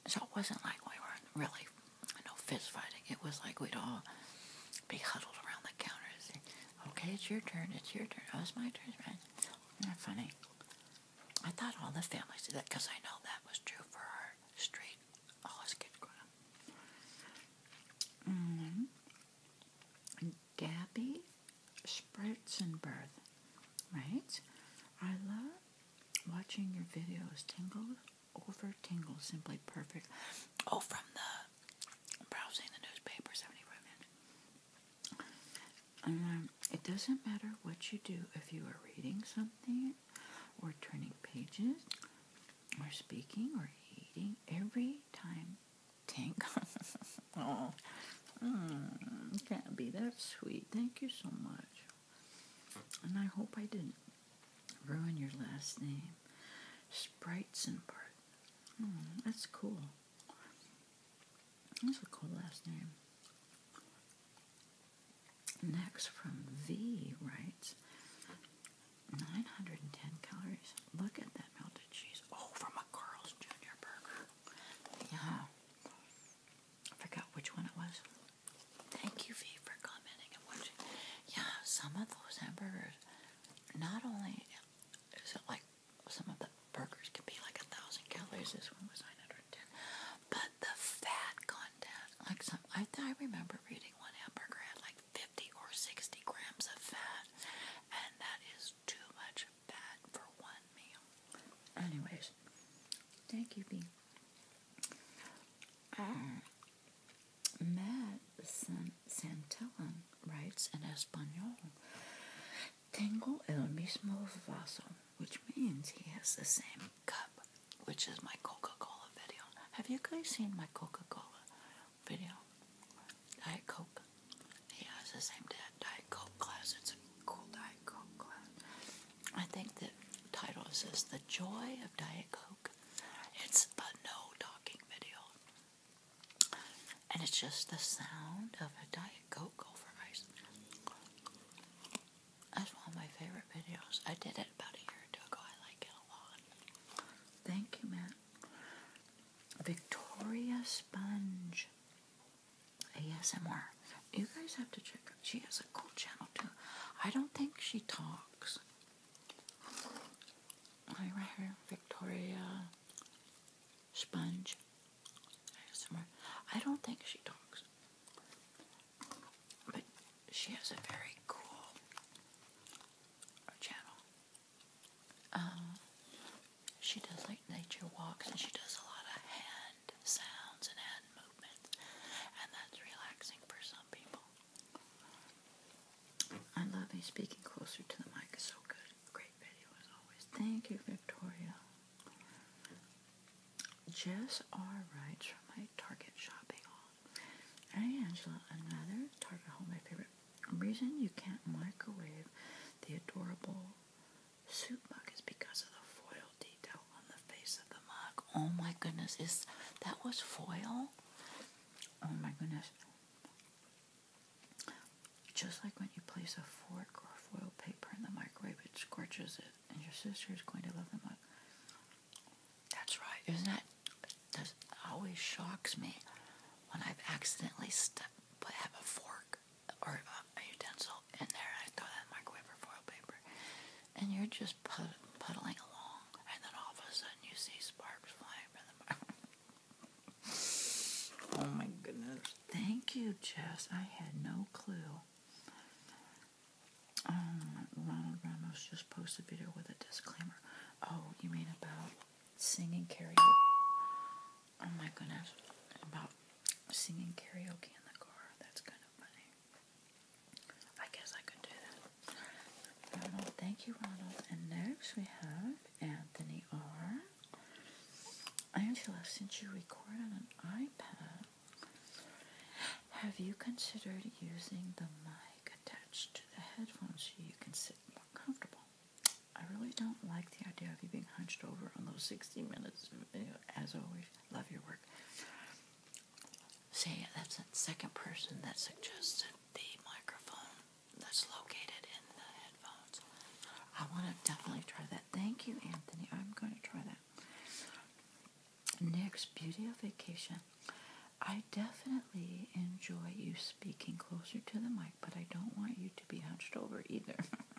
So it wasn't like we were really, no fist fighting. It was like we'd all be huddled around the counter okay, it's your turn, it's your turn. Oh, it's my turn, right? Isn't funny? I thought all the families did that because I know that was true for our street. All us kids -hmm. Gabby Spritzenberg right? I love watching your videos. Tingle over tingle, simply perfect. Oh, from the browsing the newspaper, 75 minutes. Um, it doesn't matter what you do, if you are reading something, or turning pages, or speaking, or eating, every time tank. oh, can't be that sweet. Thank you so much. And I hope I didn't ruin your last name. Spritzenberg. Mm, that's cool. That's a cool last name. Next from V writes 910 calories. Look at that melted cheese. Oh, from a Carl's Jr. burger. Yeah. I forgot which one it was. Thank you, V, for commenting and watching. Yeah, some of those hamburgers, not only is it like some of the burgers can be like a thousand calories, this one was 910, but the fat content, like some, I, I remember reading one hamburger had like 50 or 60 grams of fat, and that is too much Anyways, thank you, B. Uh, Matt Santellan writes in Espanol, Tengo el mismo vaso, which means he has the same cup, which is my Coca Cola video. Have you guys seen my Coca Cola video? I Coke. He has the same Diet Coke class. It's a cool Diet Coke class. I think the title says The Joy of Diet Coke. It's a no talking video. And it's just the sound of a Diet Coke over ice. That's one of my favorite videos. I did it about a year ago. I like it a lot. Thank you, Matt. Victoria Sponge. ASMR. You guys have to check her. She has a cool channel too. I don't think she talks. I right here, Victoria Sponge ASMR. I don't think she talks. But she has a very cool channel. Uh, she does like nature walks and she does a lot of hand sounds and hand movements, and that's relaxing for some people. i love loving speaking closer to the mic, so good. Great video as always. Thank you, Victoria. Jess R. writes from my Target shopping haul. Hey, Angela, another Target haul, my favorite. Reason you can't microwave the adorable suit mug is because of the foil detail on the face of the mug. Oh my goodness, is that was foil? Oh my goodness. Just like when you place a fork or foil paper in the microwave, it scorches it, and your sister is going to love the mug. That's right. Isn't that? That always shocks me when I've accidentally stuck, but have a fork or a utensil in there, I throw that microwave foil paper, and you're just puddling along, and then all of a sudden you see sparks flying from the microwave. oh my goodness. Thank you, Jess. I had no clue. Um, Ronald Ramos just posted video with a disclaimer. Oh, you mean about singing karaoke? Oh my goodness. About singing karaoke in the car. That's kind of funny. I guess I could do that. Ronald, thank you, Ronald. And next we have Anthony R. Angela, since you record on an iPad, have you considered using the mic attached to the headphones so you can sit more comfortable? I really don't like the idea of you being hunched over on those 60 minutes As always, love your work. See, that's the second person that suggested the microphone that's located in the headphones. I want to definitely try that. Thank you, Anthony. I'm going to try that. Next, Beauty of Vacation. I definitely enjoy you speaking closer to the mic, but I don't want you to be hunched over either.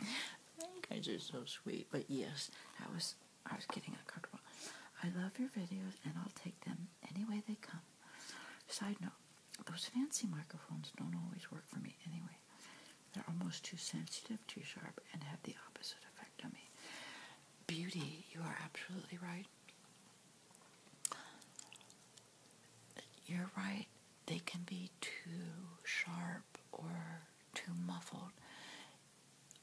you guys are so sweet. But yes, I was I was getting uncomfortable. I love your videos and I'll take them any way they come. Side note, those fancy microphones don't always work for me anyway. They're almost too sensitive, too sharp, and have the opposite effect on me. Beauty, you are absolutely right. You're right they can be too sharp or too muffled.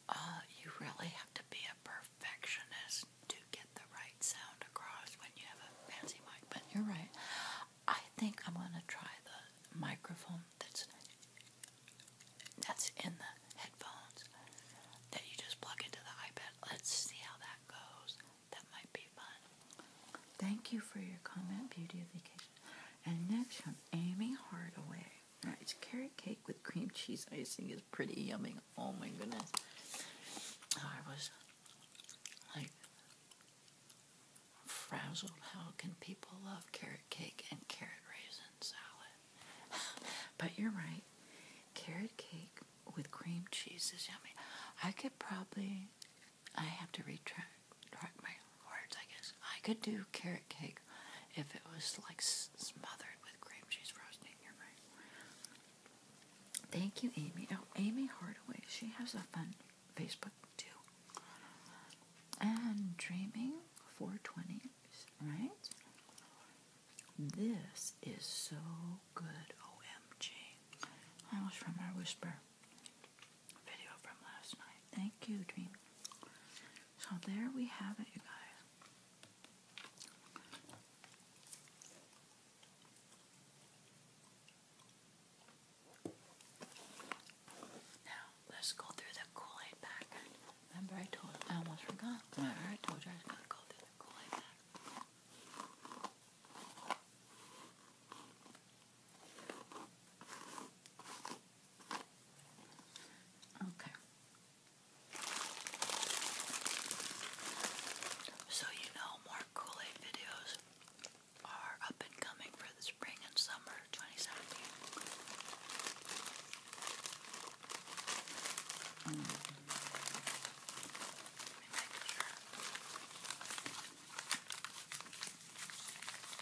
Uh, you really have to be a perfectionist to get the right sound across when you have a fancy mic. But you're right. I think I'm going to try the microphone that's that's in the headphones that you just plug into the iPad. Let's see how that goes. That might be fun. Thank you for your comment, Beauty of Vacation. And next from Amy Hardaway. Alright, carrot cake with cream cheese icing is pretty yummy. Oh my goodness. I was like frazzled. How can people love carrot cake and carrot raisin salad? but you're right. Carrot cake with cream cheese is yummy. I could probably, I have to retract right my words, I guess. I could do carrot cake if it was like smothered with cream cheese frosting. In your right. Thank you, Amy. Oh, Amy Hardaway. She has a fun Facebook too. And dreaming for twenties, right? This is so good, OMG. I was from our whisper video from last night. Thank you, Dream. So there we have it, you guys. Now, let's go through the Kool-Aid Remember I told I almost forgot. Remember I told you I was going to go through the Kool-Aid Okay. So, you know, more Kool Aid videos are up and coming for the spring and summer 2017.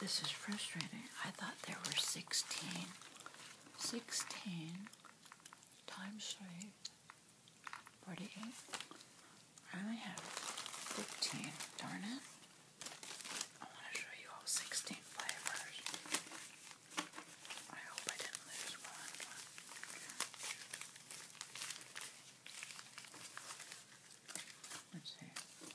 This is frustrating. I thought there were 16. 16 times 3, 48. I only have 15. Darn it. I want to show you all 16 flavors. I hope I didn't lose one. Let's see.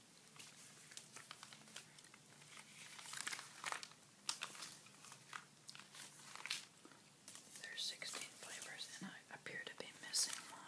There's 16 flavors, and I appear to be missing one.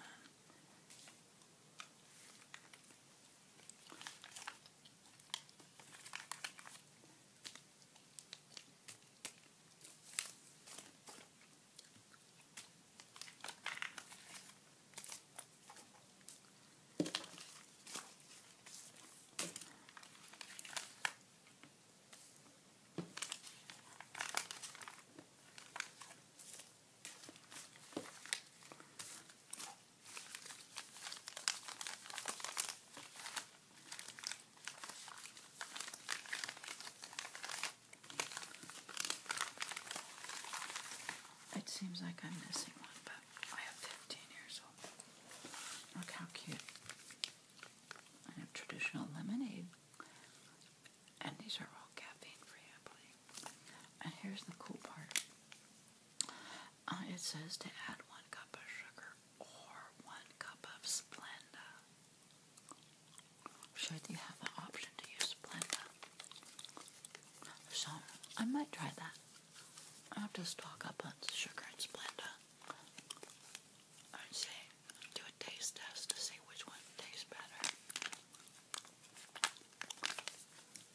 It seems like I'm missing one, but I have 15 here, so look how cute. I have traditional lemonade. And these are all caffeine free, And here's the cool part. Uh, it says to add one cup of sugar or one cup of Splenda. I'm So you have the option to use Splenda. So I might try that. I have to stock up on sugar and Splenda. I say, do a taste test to see which one tastes better.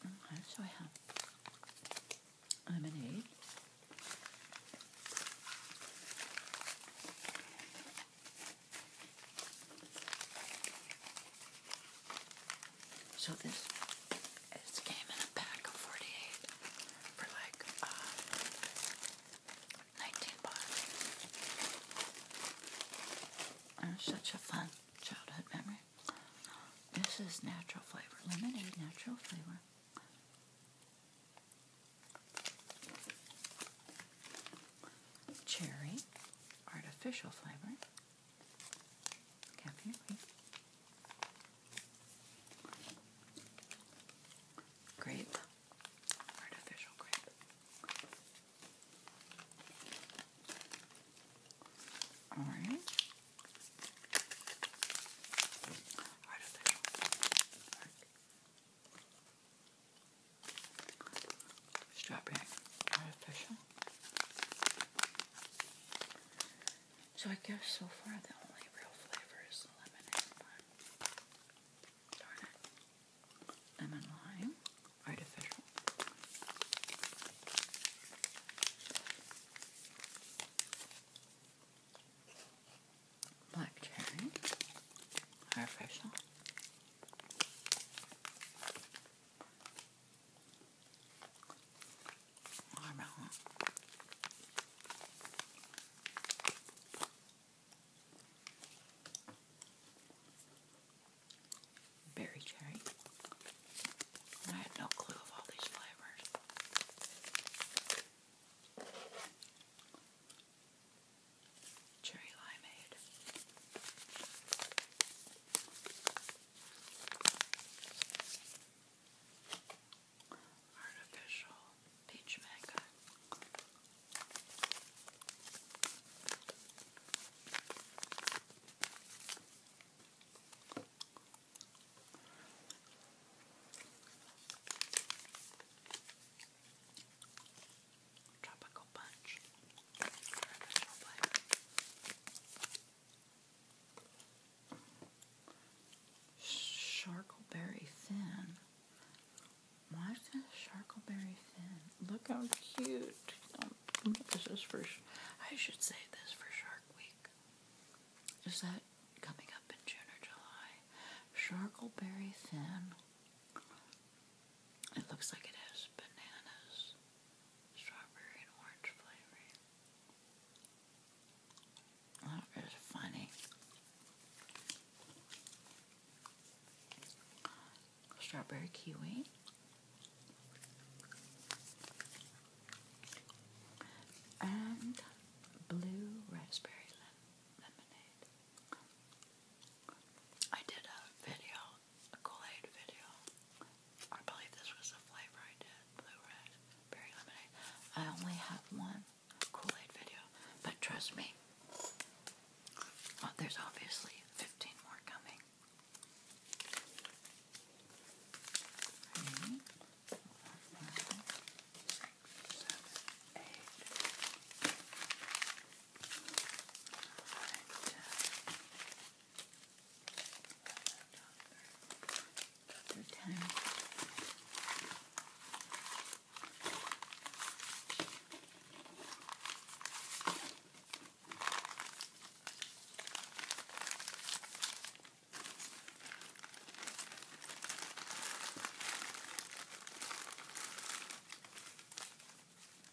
Okay, so I have lemonade. So this it came in a pack of 48 for like uh, 19 bucks. such a fun childhood memory. This is natural flavor, lemonade natural flavor. Cherry artificial flavor. Kathy, wait. Grape, artificial grape. All right. Artificial. Strawberry, artificial. So I guess so far the only real flavor is lemon and Darn it. Lemon lime. Artificial. Black cherry. Artificial. Berry cherry. I had no clue of all these flavors. Cherry limeade artificial peach mango. Tropical punch. Sharkleberry fin. Why sharkleberry fin? Look how cute. Um, this is for, I should say this for Shark Week. Is that coming up in June or July? Sharkleberry fin. It looks like it has bananas, strawberry, and orange flavoring. That funny. Strawberry kiwi. And blue raspberry lemonade. I did a video, a Kool-Aid video I believe this was the flavor I did, blue red berry lemonade. I only have one Kool-Aid video, but trust me, there's obviously 15 more coming. Three, four, five, six, seven, eight, nine, ten, Third time.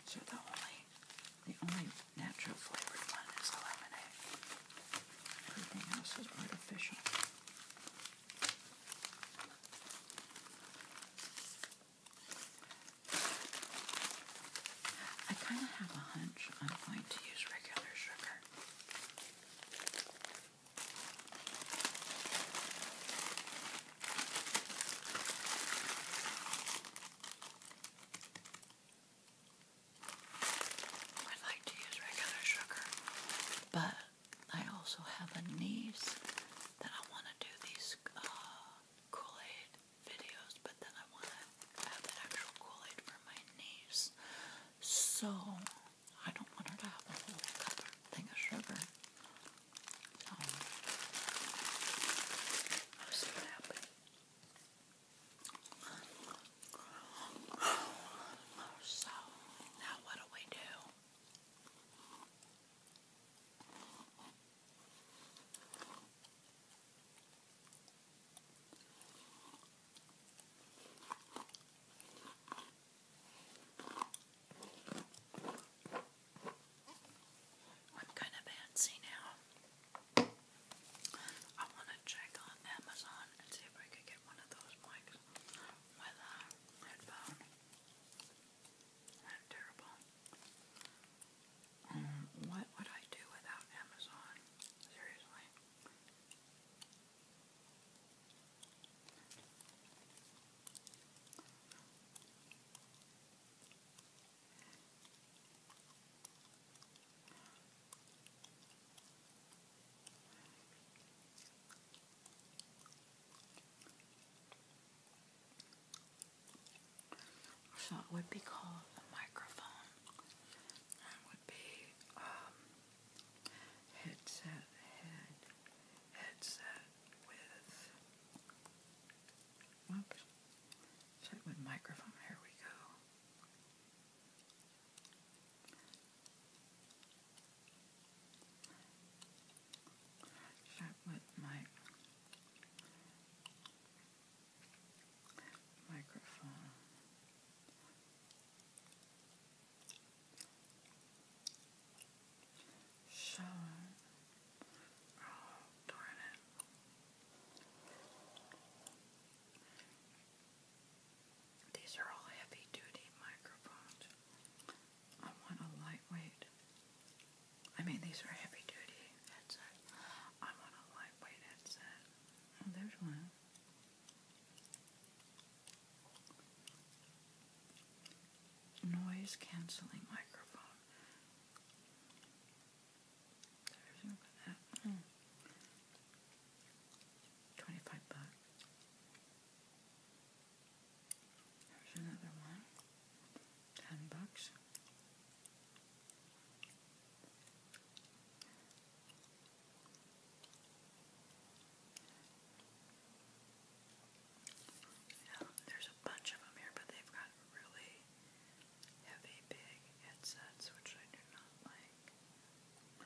So the only the only natural flavored one is lemonade. Everything else is artificial. I kind of have a hunch I'm going to use regular sugar i like to use regular sugar, but I also have a niece that I want to do these uh, Kool-Aid videos, but then I want to have the actual Kool-Aid for my niece. So I don't want her to have a whole cup thing of sugar. Um, so, i see what happens. So now what do we do? I'm kind of fancy now. I want to check on Amazon and see if I could get one of those mics with a headphone. terrible. Um, what would I do without Amazon? Seriously. So it would be called a microphone. That would be um, headset, head, headset with, whoops, check with microphone, here we go. That was my microphone. So, oh darn it. These are all heavy duty microphones. I want a lightweight. I mean, these are heavy duty headsets. I want a lightweight headset. Oh, there's one. Noise canceling microphone. There's that. Hmm. Twenty-five bucks. There's another one. Ten bucks. there's a bunch of them here, but they've got really heavy, big headsets, which I do not like.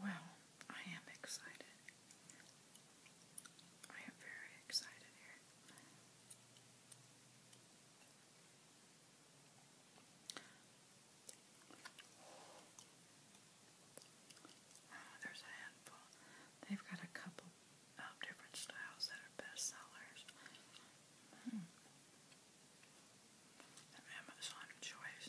Well, I am excited. I am very excited here. Ah, there's a handful. They've got a couple of different styles that are bestsellers. Mm. An Amazon choice.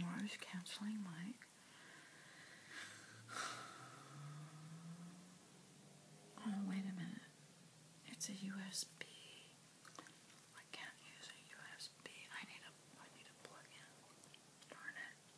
Morris counseling Mike. Oh, wait a minute. It's a USB. I can't use a USB. I need a I need a plug in. Darn it.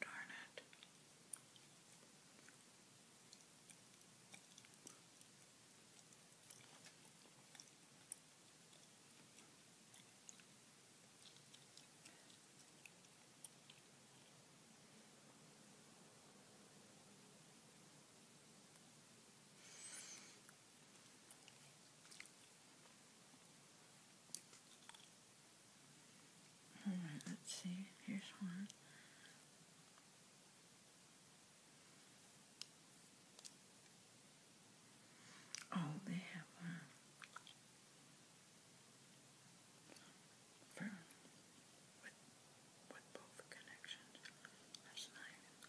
Darn it. Alright, let's see. Here's one. Oh, they have one for with both connections. That's nice.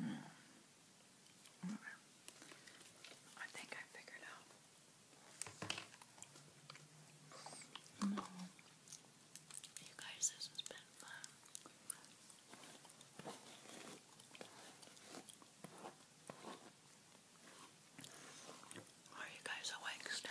Mm. Right. I think I figured out. No. You guys, this has been fun. Are you guys awake still?